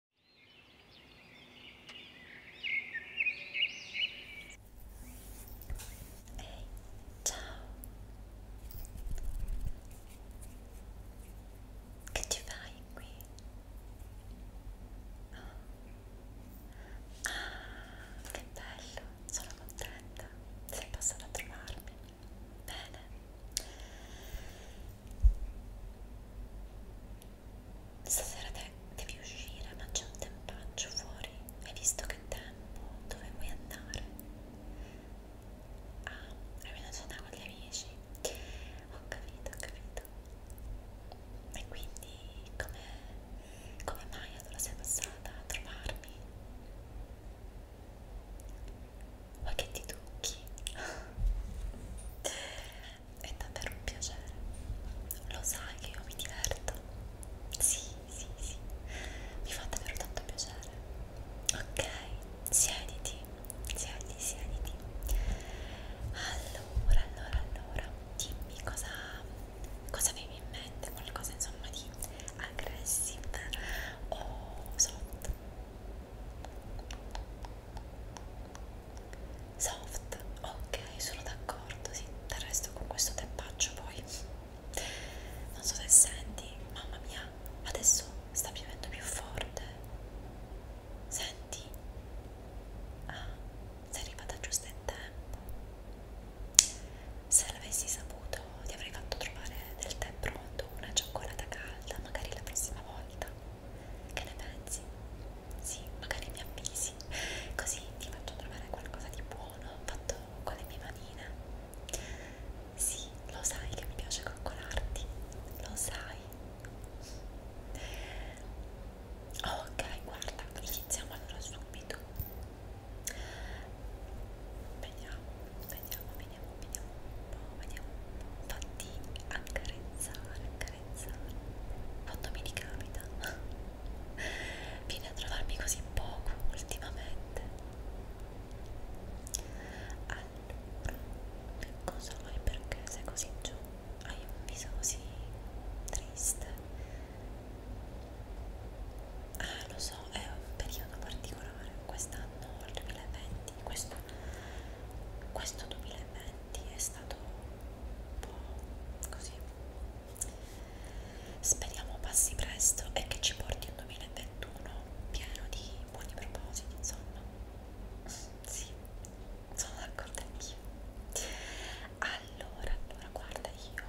Ehi, ciao! Che ci fai qui? Oh. Ah, che bello! Sono contenta. Sei passata a trovarmi. Bene. Stasera te devi uscire, ma c'è un tempaccio fuori. Hai visto che tempo? Dove vuoi andare? Ah, hai venuto a cena con gli amici? Ho capito, ho capito. E quindi come, come mai allora sei passata a trovarmi? Vuoi che ti tocchi? è davvero un piacere. Lo sai che io mi diverto? Sì, sì, sì, mi fa davvero tanto piacere. Ok, siediti, siediti, siediti. Allora, allora, allora, dimmi cosa, cosa avevi in mente, qualcosa insomma di aggressive o soft soft ok sono d'accordo sì del resto con questo teppaccio poi non so se senti mamma mia adesso sta piovendo più forte senti ah sei arrivata giusto in tempo se l'avessi saputo ti avrei fatto trovare del tè pronto una cioccolata calda magari la prossima volta che ne pensi? Sì, magari mi avvisi, così ti faccio trovare qualcosa di buono fatto con le mie manine. Sì, lo sai che mi piace coccolarti, lo sai. Ok, guarda, iniziamo allora subito. Vediamo, vediamo vediamo, vediamo un po', vediamo un po'. Fatti accarezzare, accarezzare. Quando mi ricapita. Vieni a trovarmi così poco ultimamente. Allora, cosa vuoi perché sei così giù? Hai ah, un viso così triste. Ah, lo so, è un periodo particolare. Quest'anno, il 2020, questo questo 2020 è stato un po' così speriamo passi presto e che ci porti un 2021 pieno di buoni propositi insomma sì sono d'accordo anch'io allora allora guarda io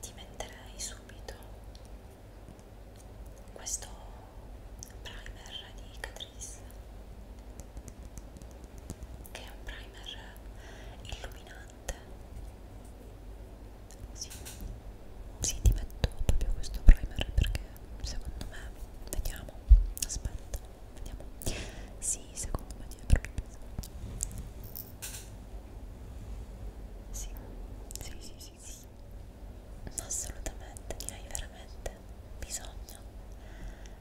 ti metterei subito questo primer di Catrice che è un primer illuminante si sì. sì, ti metto proprio questo primer perché secondo me vediamo aspetta vediamo sì secondo me ti è proprio pesante sì sì sì sì sì, sì, assolutamente, ne hai veramente bisogno.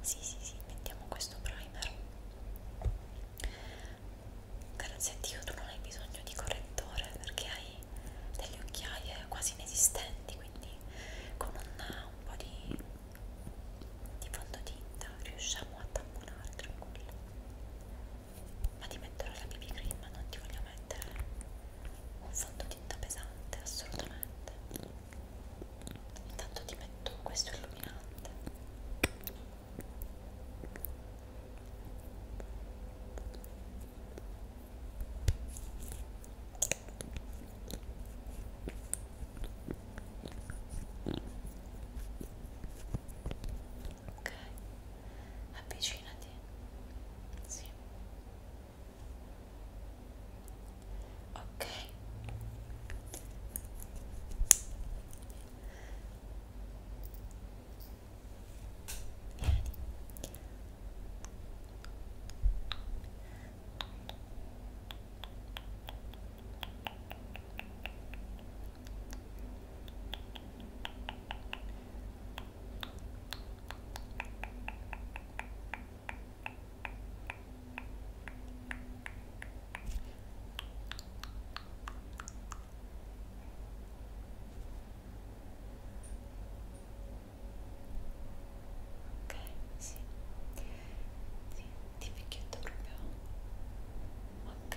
Sì, sì, sì, mettiamo questo primer. Grazie a Dio tu non hai bisogno di correttore perché hai delle occhiaie quasi inesistenti, quindi con un, un po' di, di fondotinta riusciamo a tamponare tranquillo. Ma ti metterò la BB cream, non ti voglio mettere un fondotinta pesante assolutamente intanto ti metto questo illuminante ok avvicinati sì ok vieni ok Ok, sì, sì, ti picchietto proprio. Ok.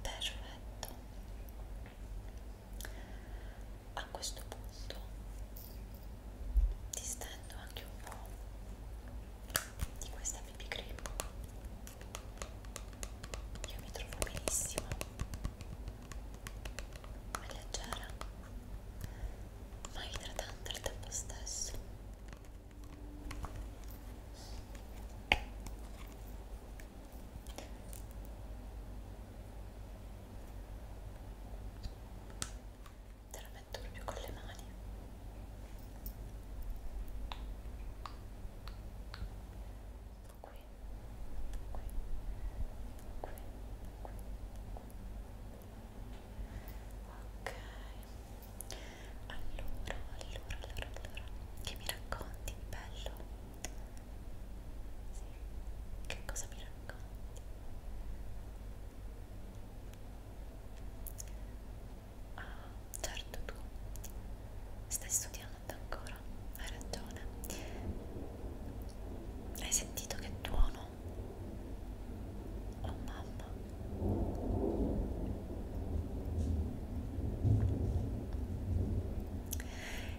Ok, perfetto a questo punto ti stendo anche un po' di questa BB cream io mi trovo benissimo è leggera ma idratante al tempo stesso te la metto proprio con le mani qui, qui, qui, qui, ok allora, allora, allora, allora che mi racconti, bello? Sì. Che cosa mi racconti? Ah, certo tu stai studiando ancora, hai ragione. Hai sentito che tuono? Oh mamma.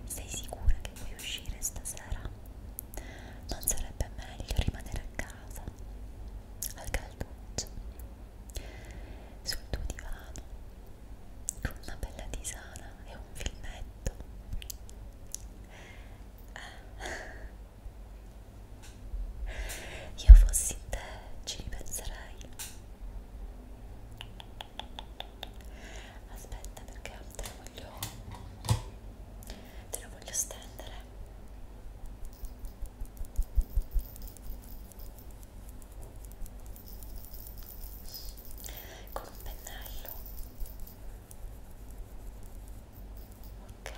Sei sicura che vuoi uscire stasera? non sarebbe meglio rimanere a casa al calduccio sul tuo divano con una bella tisana e un filmetto eh. io fossi in te ci ripenserei aspetta perché te lo voglio te lo voglio stendere con un pennello ok ok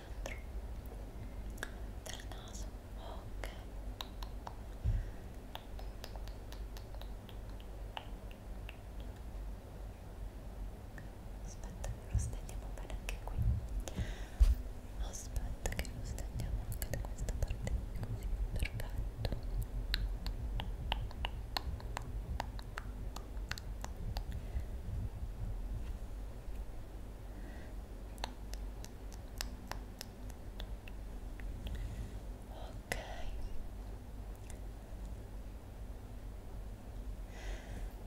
centro del naso ok aspetta che lo stendiamo bene anche qui aspetta che lo stendiamo anche da questa parte così perfetto Ok.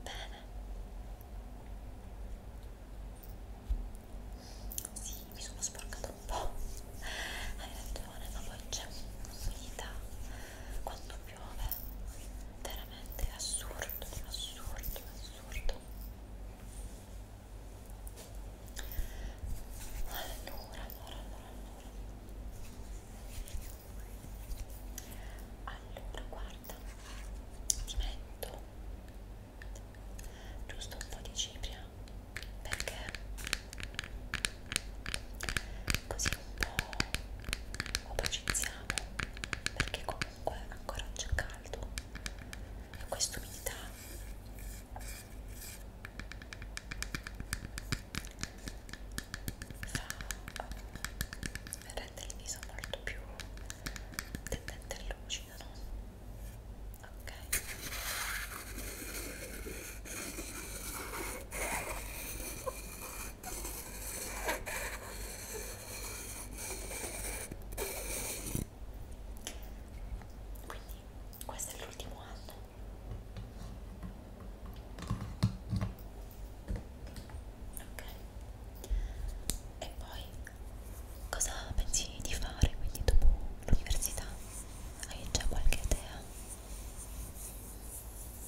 Bene. Sì, mi sono sporcata un po'. Hai ragione, ma poi c'è un'umidità quando piove veramente è assurdo assurdo assurdo allora allora allora allora allora guarda ti metto giusto un po' di cipria perché così un po' opacizziamo perché comunque ancora c'è caldo e questa umidità fa rende il viso molto più tendente e lucido no? ok quindi questo è l'ultimo anno. Ok. E poi cosa pensi di fare quindi dopo l'università? Hai già qualche idea?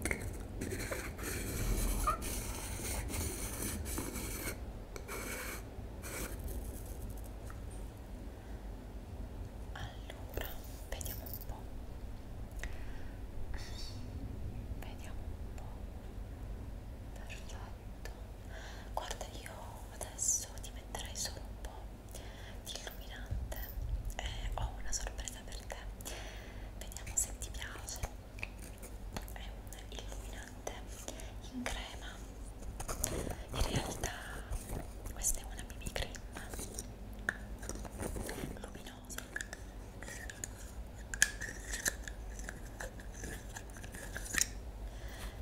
Ok. Allora, vediamo un po'. Vediamo un po'. Perfetto detto guarda io adesso ti metterai solo un po' di illuminante e ho una sorpresa per te vediamo se ti piace è un illuminante in crema in realtà questa è una BB cream luminosa ti faccio vedere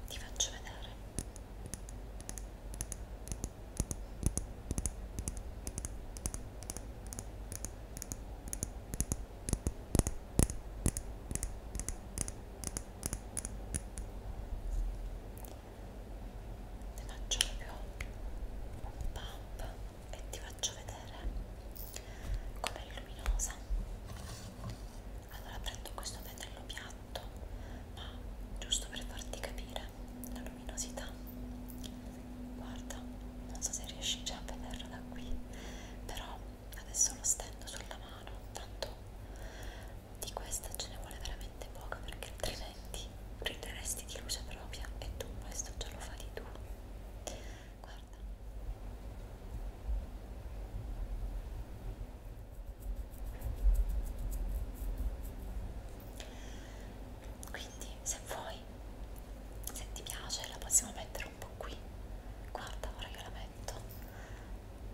ti faccio proprio un pump e ti faccio vedere com'è luminosa allora prendo questo pennello piatto ma giusto per farti capire la luminosità guarda non so se riesci già a vederla da qui però adesso lo stendo sulla mano tanto di questa ce ne vuole veramente poca perché altrimenti prenderesti di luce propria e tu questo già lo fai tu guarda guarda quindi se vuoi se ti piace la possiamo mettere un po' qui guarda ora io la metto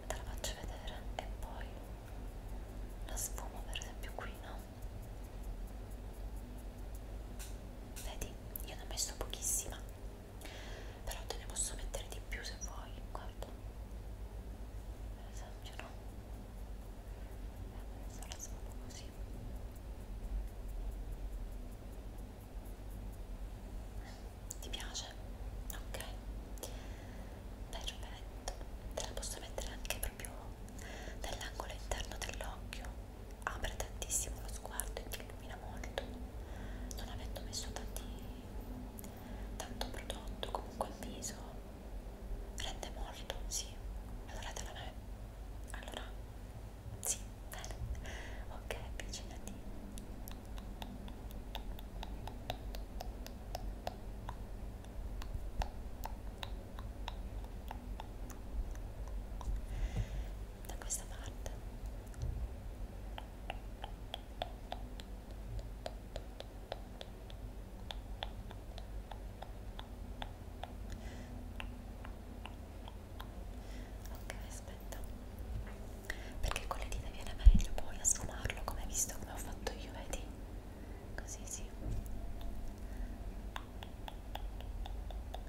te la faccio vedere e poi la sfumo per esempio qui no vedi io ne ho messo pochissima però te ne posso mettere di più se vuoi guarda per esempio no eh, sarà solo così ti piace? ok perfetto te la posso mettere anche proprio nell'angolo interno dell'occhio apre tantissimo lo sguardo e ti illumina molto non avendo messo tanti, tanto prodotto comunque il viso rende molto, sì allora te la me allora, sì, bene ok, avvicinati da questa parte ok aspetta perché con le dita viene meglio poi a sfumarlo come hai visto come ho fatto io vedi così sì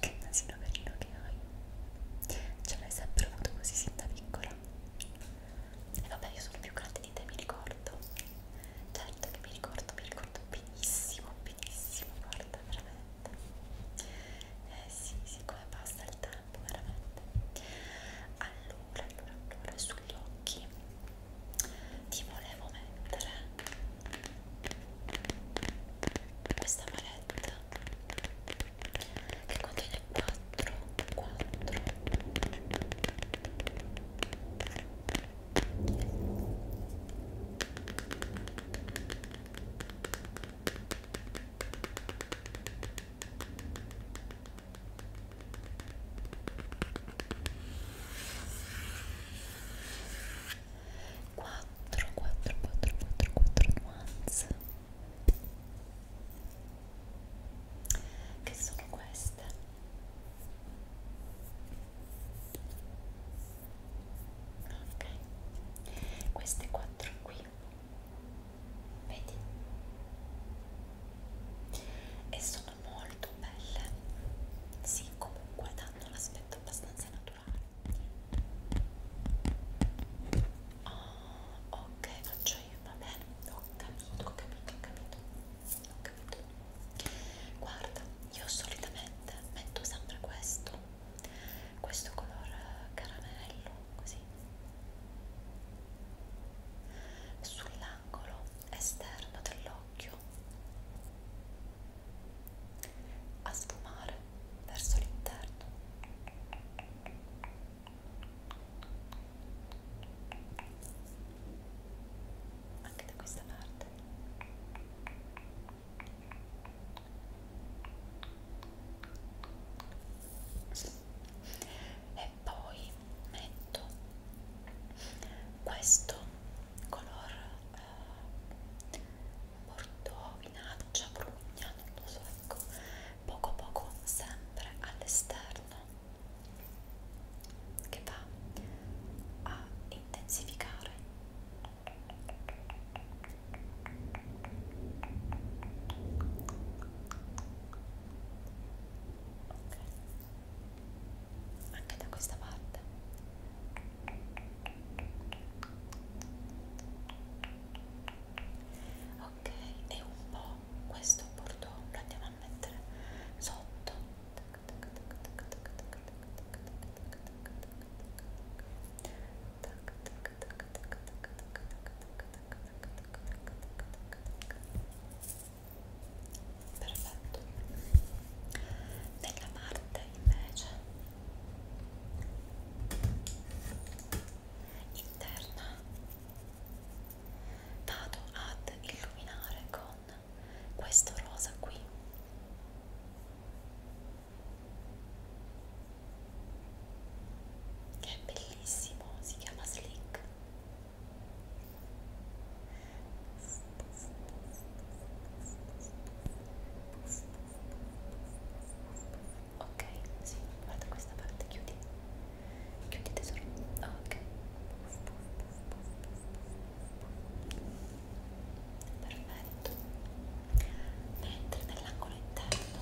Che nasino carino che hai Ce l'hai sempre avuto così sin da piccola E vabbè io sono più grande di te mi ricordo Certo che mi ricordo, mi ricordo benissimo, benissimo Guarda veramente eh sì, sì, come passa il tempo veramente allora, allora, allora sugli occhi ti volevo mettere questa palette che contiene 4 4 Eccola 4 4 4 4 4 nuance che sono queste ok queste quattro qui qui vedi e sono molto belle sì comunque danno un aspetto abbastanza naturale oh, ok faccio io va bene ho capito ho capito ho capito ho capito guarda io solitamente metto sempre questo questo color caramello così sull'angolo esterno dell'occhio a sfumare verso l'interno anche da questa parte e poi metto questo color eh, bordeaux, vinaccia, brugna, non lo so, ecco, poco poco sempre all'esterno che va a intensificare ok anche da questa parte ok e un po' questo bordeaux lo andiamo a mettere sotto tac tac tac tac perfetto nella parte invece interna vado ad illuminare con questo rosa qui che è bellissimo, si chiama Slick ok, sì, guarda questa parte, chiudi chiudi tesoro, ah, ok perfetto mentre nell'angolo interno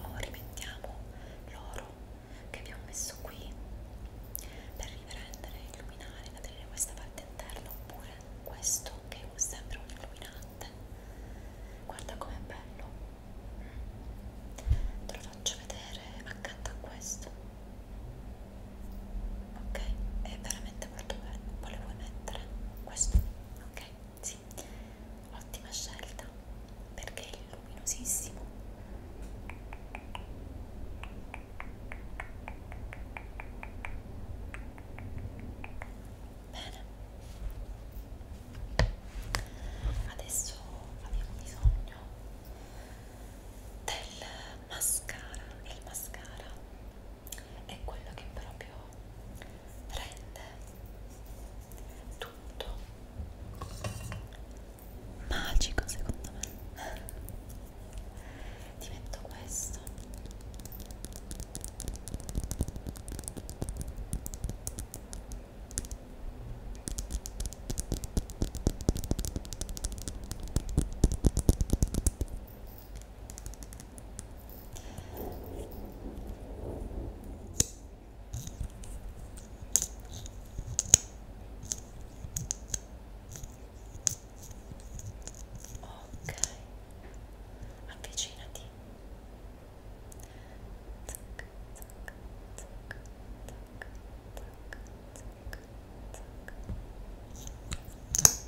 oh, rimettiamo l'oro che abbiamo messo qui per riprendere e illuminare da tenere questa parte interna oppure questo che è sempre un illuminante guarda com'è bello te lo faccio vedere accanto a questo ok è veramente molto bello poi le vuoi mettere questo ok sì, ottima scelta perché è luminosissimo. Bene, adesso abbiamo bisogno del mascara. Il mascara è quello che proprio rende tutto magico secondo me ti metto questo Ok, avvicinati. Zac, zac, zac, zac, zac, zac, zac.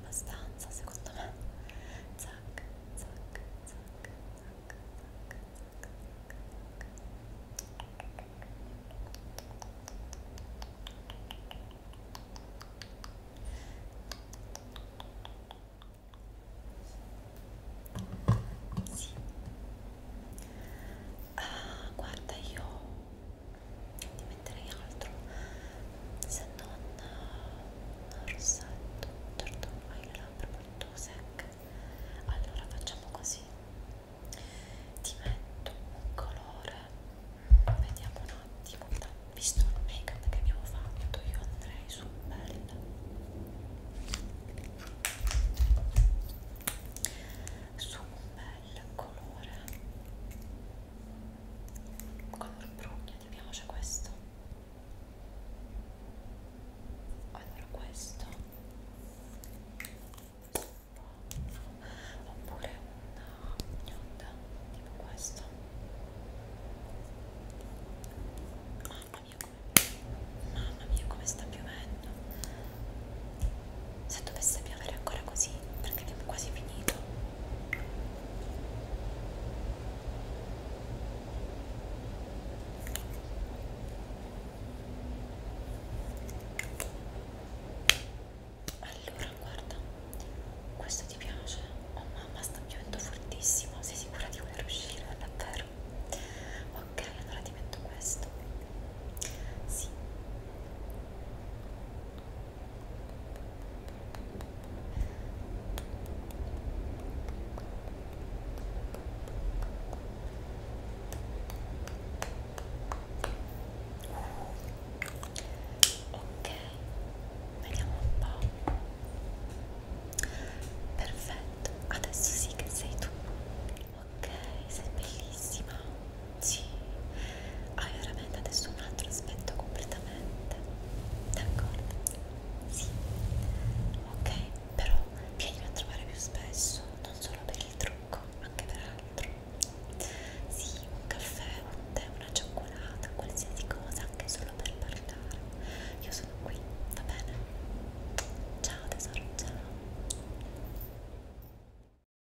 abbastanza secondo me zac zac zac zac zac zac sì. ah, guarda io di metterei altro se non un rossetto certo hai le labbra molto secche allora facciamo così ti metto un colore vediamo un attimo visto il make up che abbiamo fatto io andrei sul bello su un bel colore color brugno, chiamiamoci questo allora questo oppure una gnonda tipo questo mamma mia come mamma mia come sta piovendo se dovesse piovere ancora così perché abbiamo quasi finito allora guarda questo ti piace? oh mamma sta piovendo fortissimo sei sicura di voler uscire? davvero? ok allora ti metto questo sì Ok, vediamo un po'. Perfetto, adesso sì che sei tu. Ok, sei bellissima. Sì, hai veramente adesso un altro aspetto completamente. D'accordo? Sì. Ok, però vieni a trovare più spesso, non solo per il trucco, anche per altro. Sì, un caffè, un tè, una cioccolata, qualsiasi cosa, anche solo per parlare. Io sono qui, va bene? Ciao tesoro, ciao.